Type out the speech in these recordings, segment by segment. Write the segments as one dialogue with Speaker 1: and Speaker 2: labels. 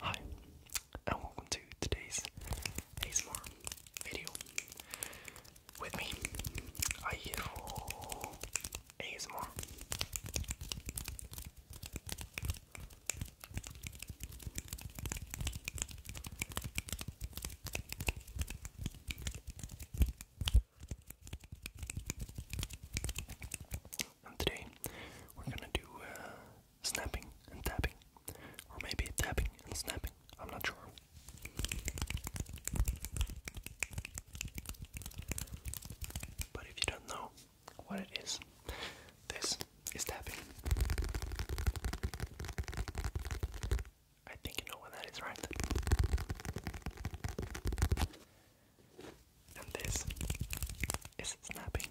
Speaker 1: Hi, and welcome to today's ASMR video. With me, I hear for ASMR today we're gonna do uh, snapping and tapping, or maybe tapping and snapping, I'm not sure. But if you don't know, what it is. This is tapping. I think you know what that is, right? And this is snapping.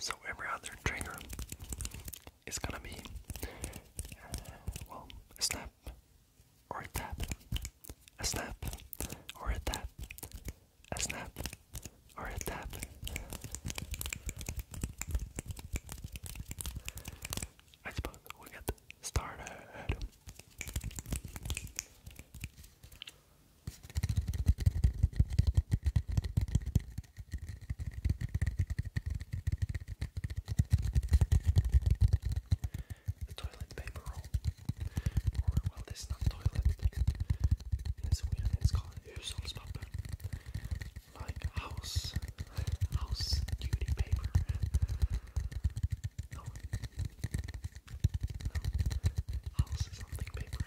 Speaker 1: So every other trigger it's gonna be uh, well a snap or a tap, a snap or a tap, a snap or a tap. I suppose we'll get started. The toilet paper roll. Or, well, this not toilet. In Sweden it's called hushållspapper. Like house, house duty paper. House something paper.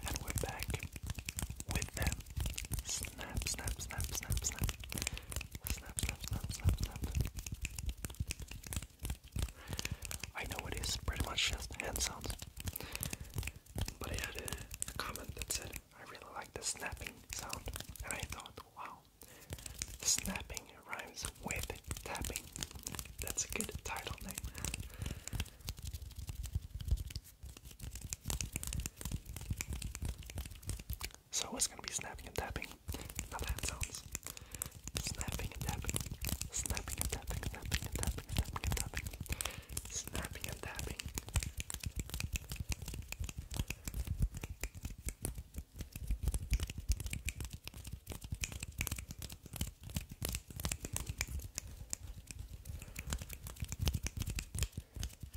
Speaker 1: And we're back with them. Snap, snap, snap, snap, snap. I know it is pretty much just hand sounds. But I had a, a comment that said, I really like the snapping sound. And I thought, wow, snapping rhymes with tapping. That's a good title name. So it's gonna be snapping and tapping. Now that sounds snapping and tapping, snapping and tapping, snapping and tapping, snapping and tapping, snapping and tapping.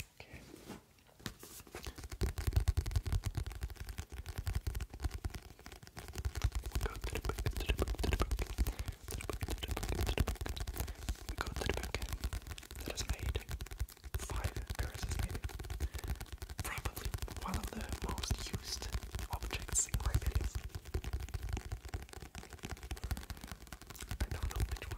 Speaker 1: Okay. Go to the book, to the book, to the book, to the book, to the book, the book. We go to the book that has made five curses made Probably one of the most used objects in my videos. I don't know which one.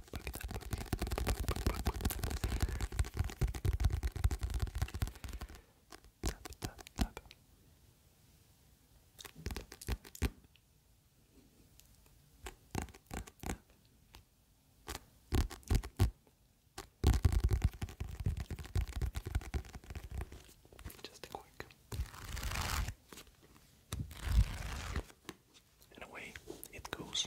Speaker 1: book, that book, book, book, book, book. Tap, tap, tap. Tap, tap. Just a quick and away it goes.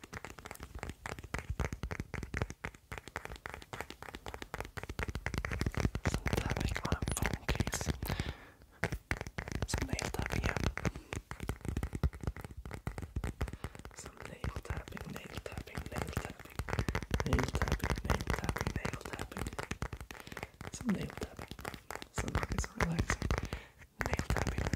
Speaker 1: Synthetic on a phone case. Some nail tapping, yeah. Some nail tapping, nail tapping, nail tapping, nail tapping, nail tapping, nail tapping. Some nail tapping. Some is relaxing nail tapping. Thank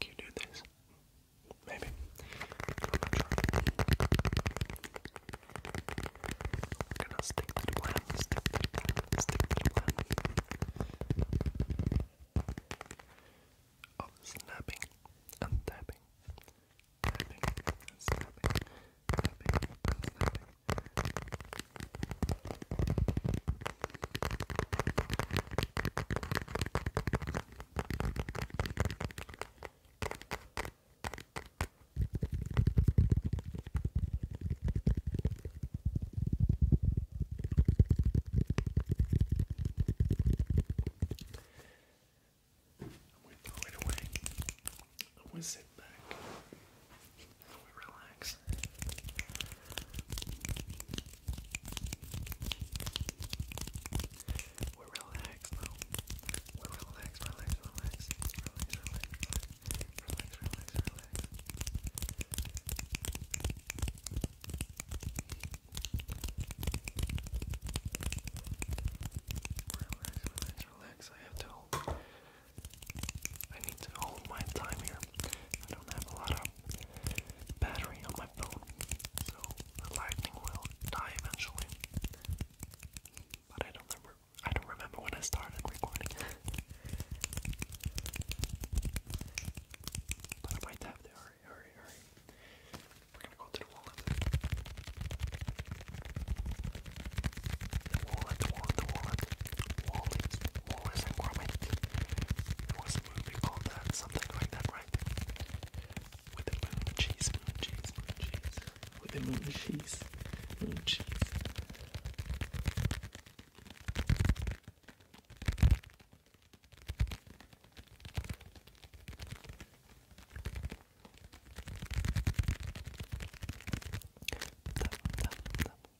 Speaker 1: Can you do this? Maybe. I'm gonna stick to the stick to the stick to the plan. Of oh, snapping and tapping. Tapping and snapping. snapping. I'm gonna throw it away. I'm gonna sit back. I'm gonna relax relax. We're relaxed We're relaxed, relax, relax, relax, relax, relax, relax, relax, relax. Relax, relax, relax. I have to I need to hold my time here. I don't have a lot of battery on my phone, so the lightning will die eventually. But I don't remember. I don't remember when I started recording. but I might have to hurry, hurry, hurry. We're gonna go to the wallet. The wallet, wallet, wallet, wallet, what was it, Cormac? There was a movie called that, something like that, right? With the moon cheese, moon cheese, moon cheese. With the moon cheese, moon cheese.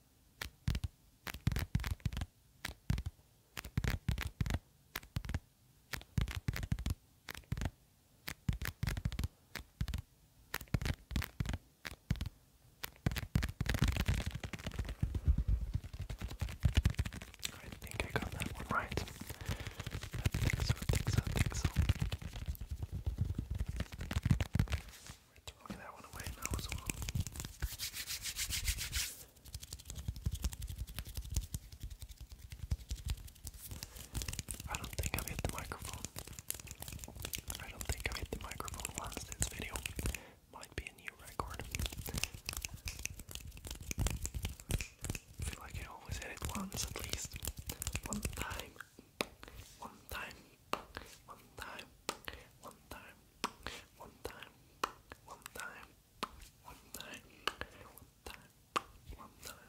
Speaker 1: I think I got that one right. I think so, I think so, I think so. I don't think i hit the microphone. I don't think i hit the microphone once this video. Might be a new record. feel like I always hit it once at least. One time. One time, one time, one time, one time, one time, one time, one time, one time.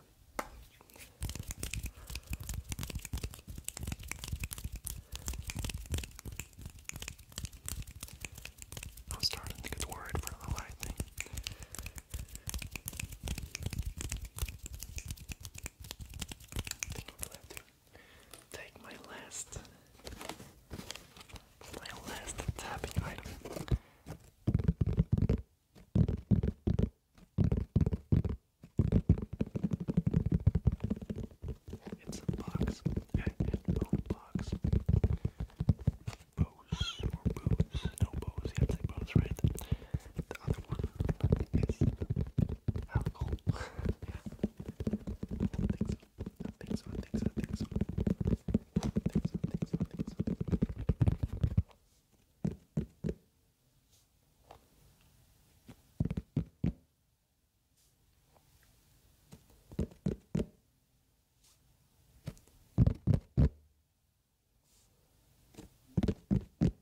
Speaker 1: I'm starting to think worried for the light think I'm gonna take my last my last tapping item. It's a box. A box. Bose or booze. No bose, you have to the other one is alcohol. yeah. I think so. I think so. I think so. I think so. I think so. I think so. I think so. I think so. Alright,